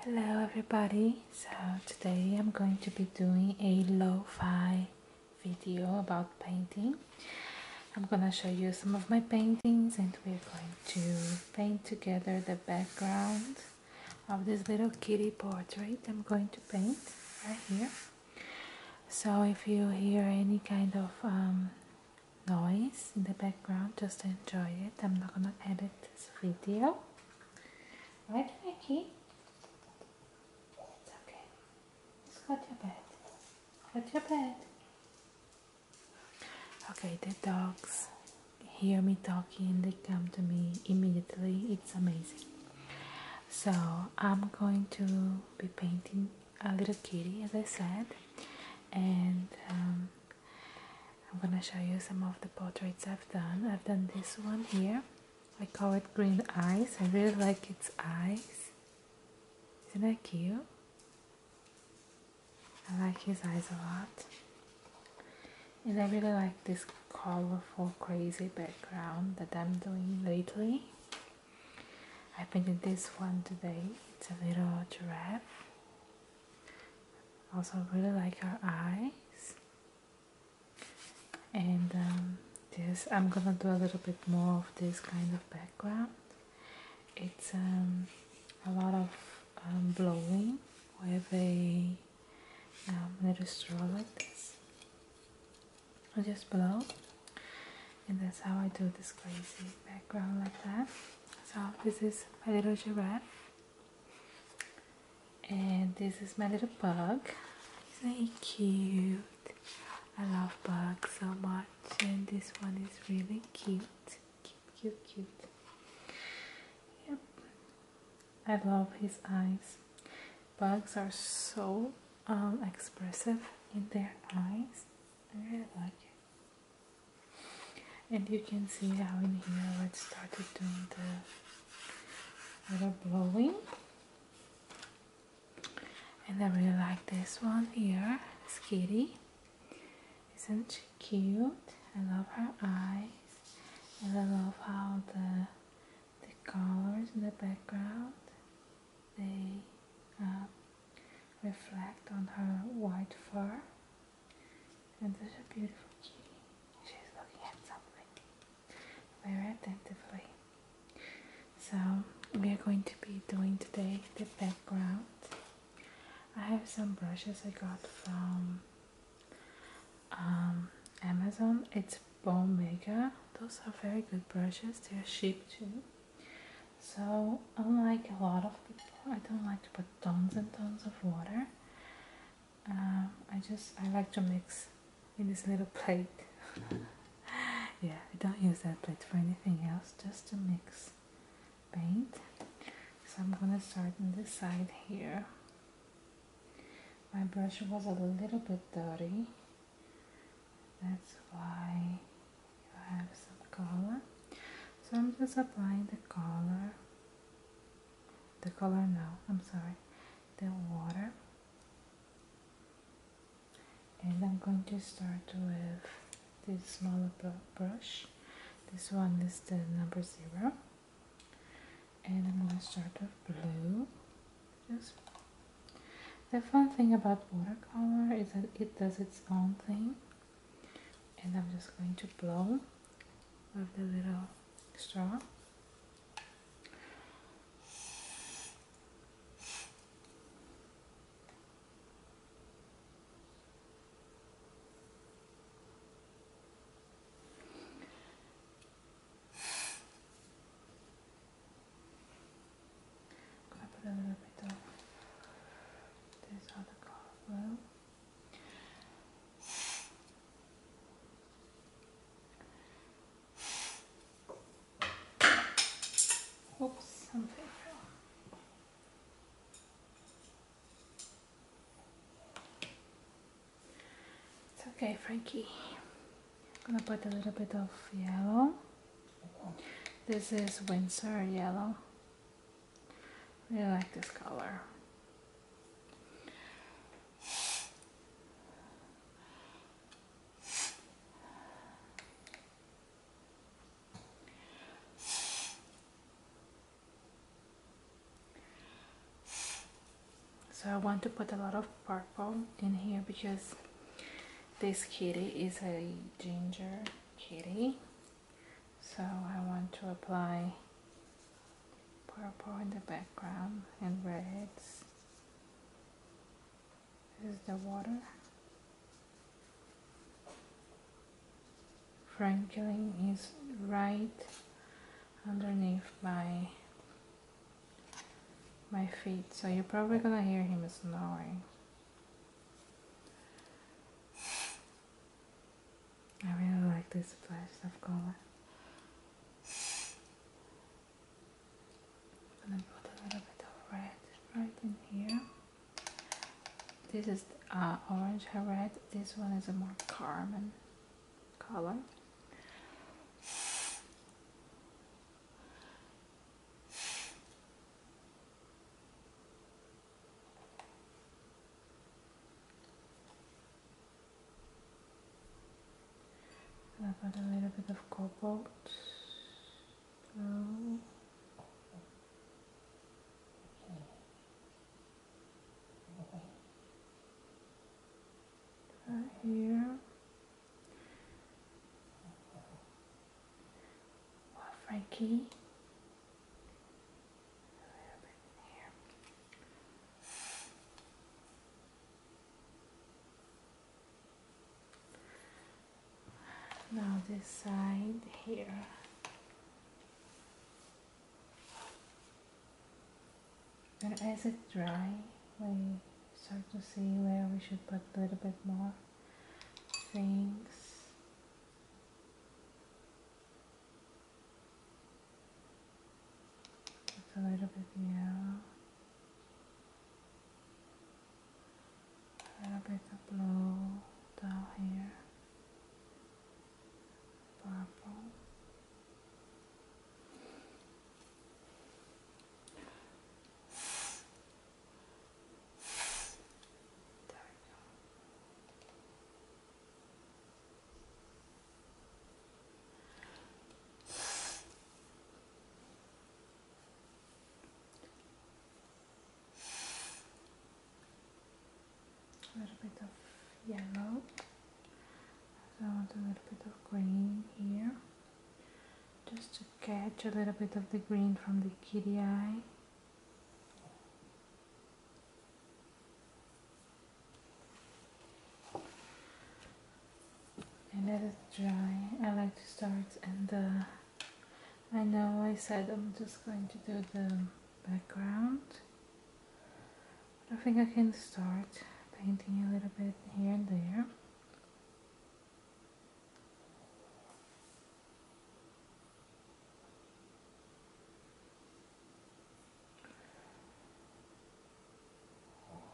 Hello everybody, so today I'm going to be doing a lo-fi video about painting. I'm gonna show you some of my paintings and we're going to paint together the background of this little kitty portrait I'm going to paint right here. So if you hear any kind of um, noise in the background just enjoy it i'm not gonna edit this video right Becky it's okay just go your bed go your bed okay the dogs hear me talking they come to me immediately it's amazing so i'm going to be painting a little kitty as i said and um, I'm gonna show you some of the portraits I've done. I've done this one here. I call it green eyes. I really like its eyes. Isn't that cute? I like his eyes a lot. And I really like this colorful, crazy background that I'm doing lately. I painted this one today. It's a little giraffe also really like her eyes and um, this I'm gonna do a little bit more of this kind of background it's um, a lot of um, blowing with a little straw like this I just blow and that's how I do this crazy background like that so this is my little giraffe, and this is my little bug. Isn't cute? I love bugs so much, and this one is really cute. Cute, cute, cute. I love his eyes. Bugs are so um, expressive in their eyes. I really like it and you can see how in here I started doing the little blowing and I really like this one here, it's kitty isn't she cute? I love her eyes and I love how the the colors in the background they reflect on her white fur. And there's a beautiful kitty. She's looking at something very attentively. So we are going to be doing today the background. I have some brushes I got from um, Amazon. It's Bone Mega. Those are very good brushes. They are cheap too. So, unlike a lot of people, I don't like to put tons and tons of water. Um, I just I like to mix in this little plate. yeah, I don't use that plate for anything else, just to mix paint. So I'm gonna start on this side here. My brush was a little bit dirty. That's why you have some color so I'm just applying the color the color now I'm sorry the water and I'm going to start with this smaller brush this one is the number zero and I'm going to start with blue just the fun thing about watercolor is that it does its own thing. And I'm just going to blow with the little straw. I'm going to put a little bit of this other color Oops, something It's okay, Frankie. I'm gonna put a little bit of yellow this is Windsor Yellow. Really like this color. So I want to put a lot of purple in here because this kitty is a ginger kitty so I want to apply purple in the background and reds this is the water Franklin is right underneath my my feet so you're probably gonna hear him snoring I really like this splash of color. i gonna put a little bit of red right in here. This is uh, orange red. This one is a more carmen color. I've got a little bit of cobalt Right here. Frankie, Now this side here. And as it dry, we start to see where we should put a little bit more things a little bit yellow a little bit of blue down here purple a little bit of yellow. I want a little bit of green here just to catch a little bit of the green from the kitty eye and let it dry I like to start and I know I said I'm just going to do the background I think I can start painting a little bit here and there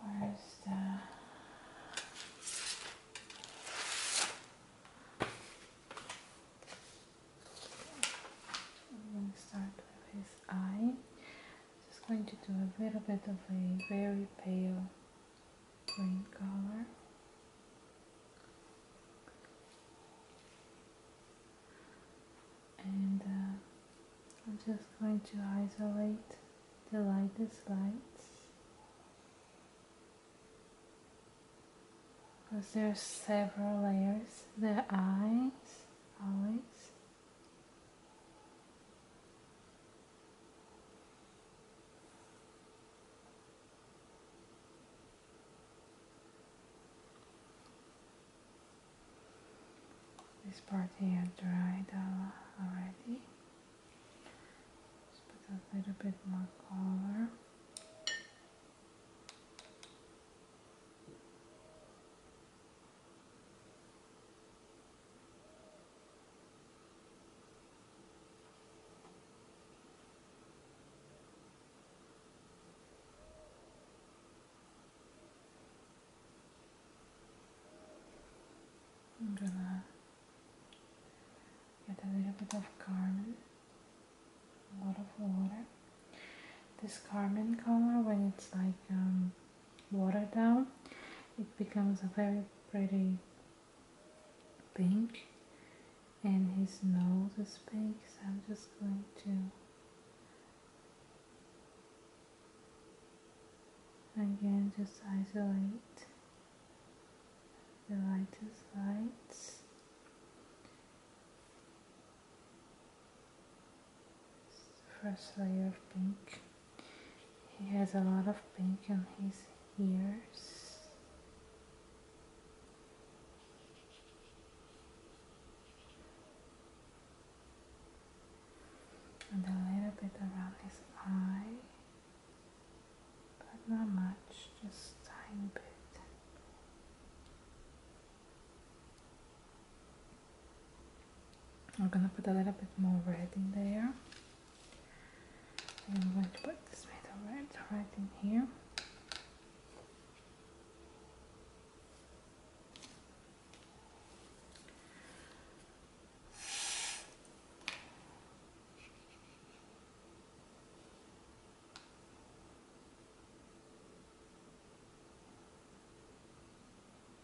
Where's the I'm going to start with his eye. Just going to do a little bit of a very pale green color. And uh, I'm just going to isolate the lightest lights because there's several layers. The eyes, always. This part here dried already. Just put a little bit more color. I'm gonna get a little bit of carmine, a lot of water. This carmine color, when it's like um, water down it becomes a very pretty pink and his nose is pink so I'm just going to again just isolate the lightest lights first layer of pink he has a lot of pink on his ears and a little bit around his eye but not much just tiny bit I'm gonna put a little bit more red in there. I'm going to put this metal red right in here.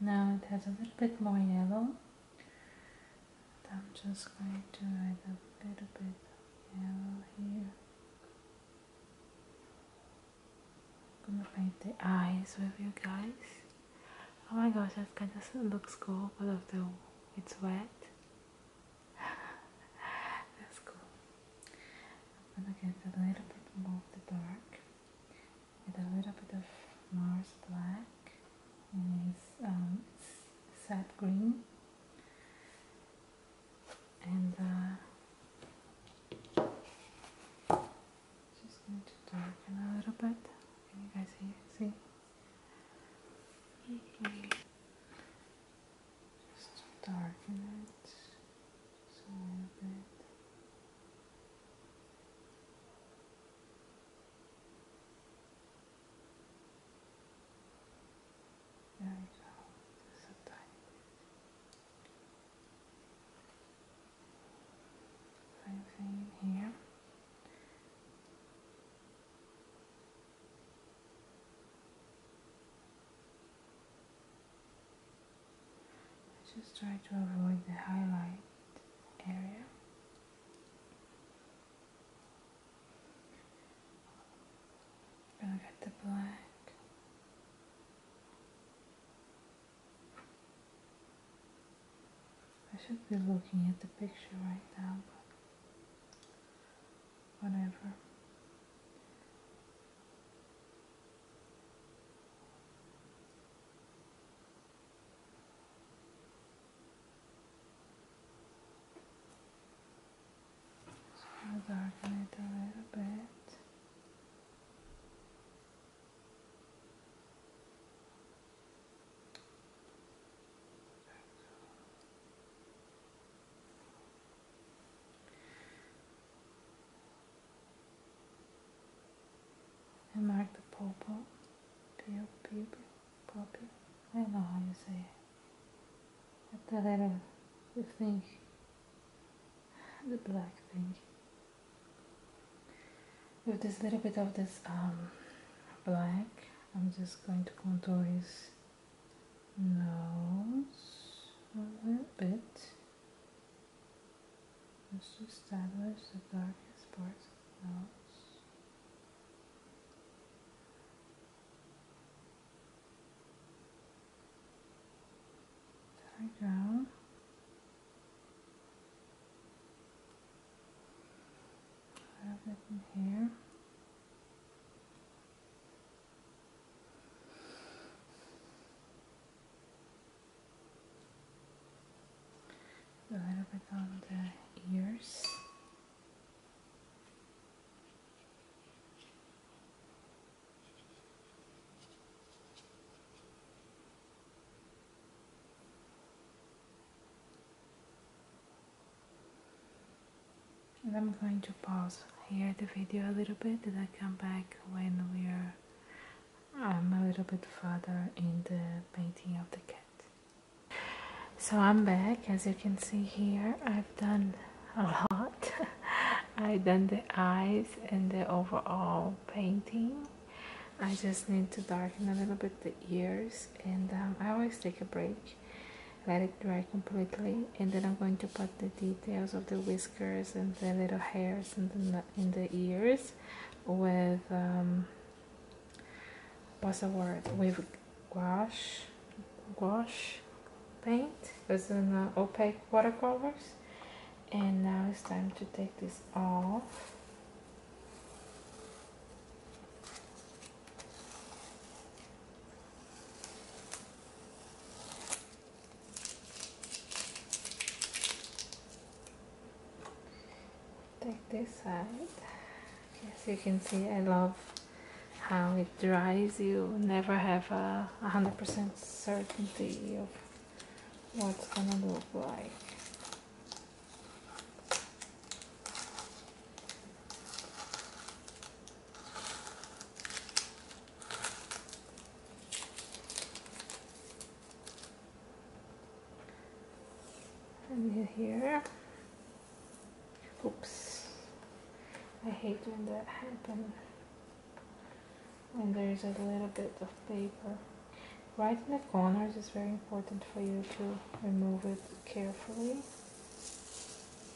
Now it has a little bit more yellow. I'm just going to add a little bit of yellow here. I'm gonna paint the eyes with you guys. Oh my gosh, that kind of looks cool, but after it's wet. That's cool. I'm going a little bit more of the dark with a little bit of Mars black and it's, um, sap green and uh, just going to darken a little bit can you guys see? just darken it a little bit there we go, just tiny bit. Same thing here. I just try to avoid the highlight area. I'm the black. I should be looking at the picture right now, but whatever. So i darken it a little bit and mark the popo, pew, pew, poppy. I don't know how you say it. At the letter, the thing, the black thing. With this little bit of this um, black, I'm just going to contour his nose a little bit. Let's establish the darkest parts of the nose. down. have it in here. A little bit on the ears. I'm going to pause here the video a little bit Did I come back when we're I'm um, a little bit further in the painting of the cat. So I'm back as you can see here I've done a lot. I've done the eyes and the overall painting. I just need to darken a little bit the ears and um, I always take a break let it dry completely and then I'm going to put the details of the whiskers and the little hairs in the, in the ears with um, what's the word with gouache gouache paint it in uh, opaque watercolors and now it's time to take this off Take this side. As you can see, I love how it dries. You never have a 100% certainty of what's gonna look like and here oops I hate when that happens And there's a little bit of paper right in the corners It's very important for you to remove it carefully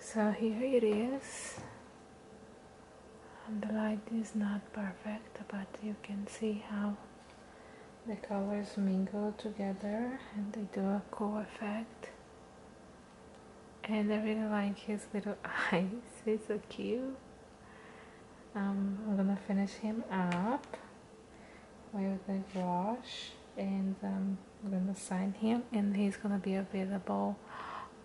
So here it is. And the light is not perfect, but you can see how the colors mingle together and they do a cool effect. And I really like his little eyes, he's so cute. Um, I'm gonna finish him up with the Josh and I'm um, gonna sign him and he's gonna be available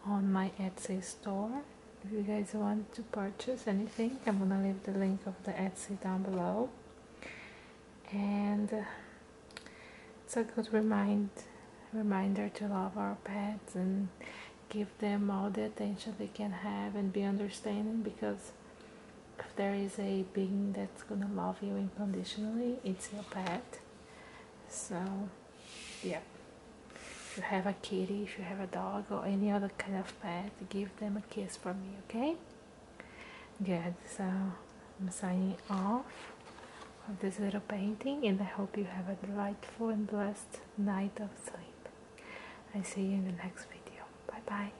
on my Etsy store if you guys want to purchase anything I'm gonna leave the link of the Etsy down below and it's a good remind reminder to love our pets and give them all the attention they can have and be understanding because if there is a being that's gonna love you unconditionally, it's your pet. So, yeah. you have a kitty, if you have a dog, or any other kind of pet, give them a kiss from me, okay? Good, so I'm signing off of this little painting, and I hope you have a delightful and blessed night of sleep. I see you in the next video. Bye bye.